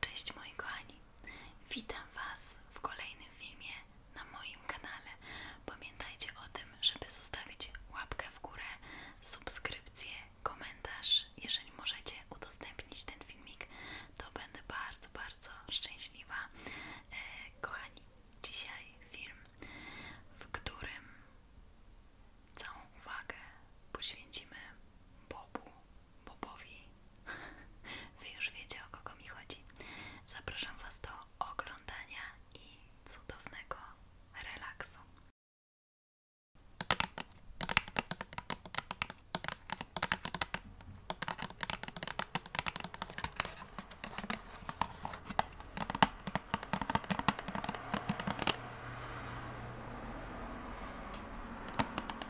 Cześć moi kochani, witam Was w kolejnym filmie na moim kanale. Pamiętajcie o tym, żeby zostawić łapkę w górę, subskrypcję, komentarz. Jeżeli możecie udostępnić ten filmik, to będę bardzo, bardzo szczęśliwa. E, kochani, dzisiaj film, w którym całą uwagę poświęcimy Bobu Bobowi Wy już wiecie o kogo mi chodzi Zapraszam Was do oglądania i cudownego relaksu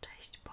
Cześć Bob.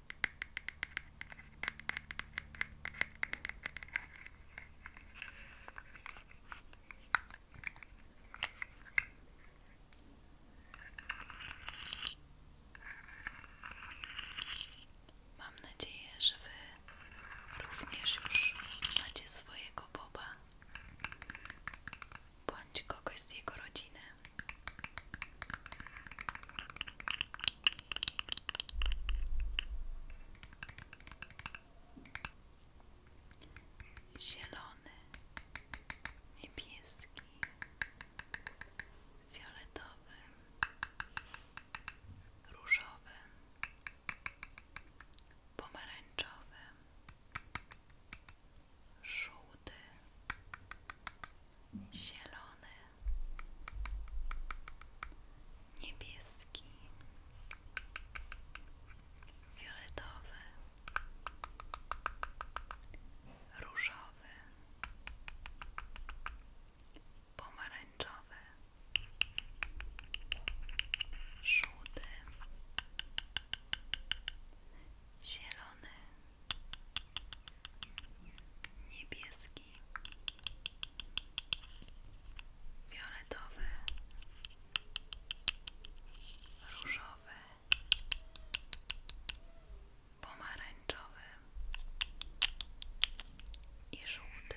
Mam nadzieję, że Wy również już macie swojego Boba bądź kogoś z jego rodziny zielony, niebieski, fioletowy, różowy, pomarańczowy, żółty, zielony, niebieski, fioletowy, różowy, pomarańczowy, żółty, zielony niebieski, fioletowy, różowy, pomarańczowy i żółty.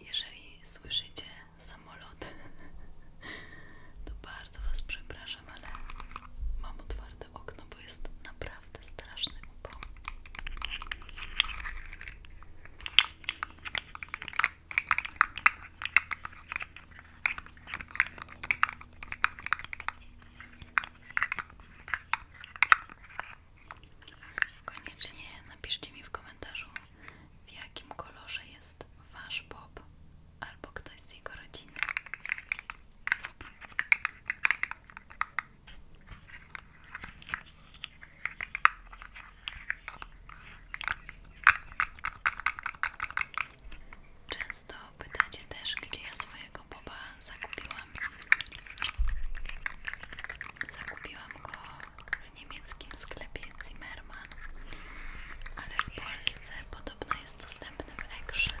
Jeżeli słyszycie samolot, to bardzo Was przepraszam, ale mam otwarte okno, bo naprawdę straszny upał. Koniecznie napiszcie mi w komentarzu, w jakim kolorze jest wasz Bob albo ktoś z jego rodziny. Często pytacie też, gdzie ja swojego boba zakupiłam. Zakupiłam go w niemieckim sklepie Zimmermann, ale w Polsce podobno jest dostępny w Action.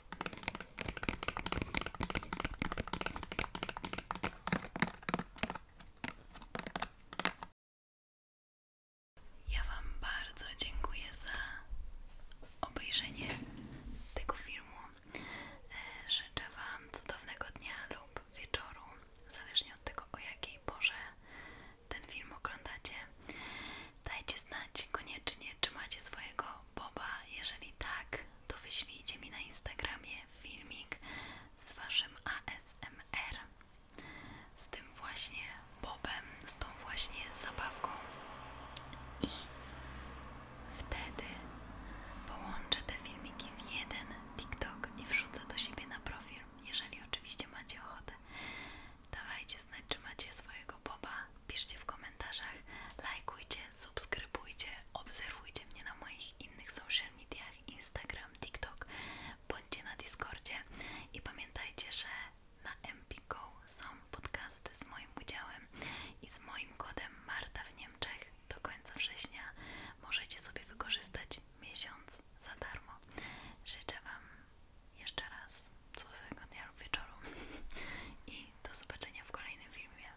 Ja Wam bardzo dziękuję za obejrzenie tego filmu. E, życzę Wam cudownego dnia lub wieczoru, zależnie od tego o jakiej porze ten film oglądacie. Dajcie znać koniecznie czy macie swojego boba? Jeżeli tak, to wyślijcie mi na Instagramie filmik z waszym ASMR, z tym właśnie bobem, z tą właśnie zabawką i wtedy połączę te filmiki w jeden TikTok i wrzucę do siebie na profil, jeżeli oczywiście macie ochotę. Dawajcie znać, czy macie swojego boba piszcie w komentarzach, lajkujcie, subskrybujcie, obserwujcie mnie na moich innych social mediach, Instagram, TikTok, bądźcie na Discordzie i pamiętajcie, że na MPGO są podcasty z moim udziałem i z moim kodem Marta w Niemczech do końca września możecie sobie wykorzystać miesiąc za darmo. Życzę Wam jeszcze raz cudownego dnia lub wieczoru i do zobaczenia w kolejnym filmie.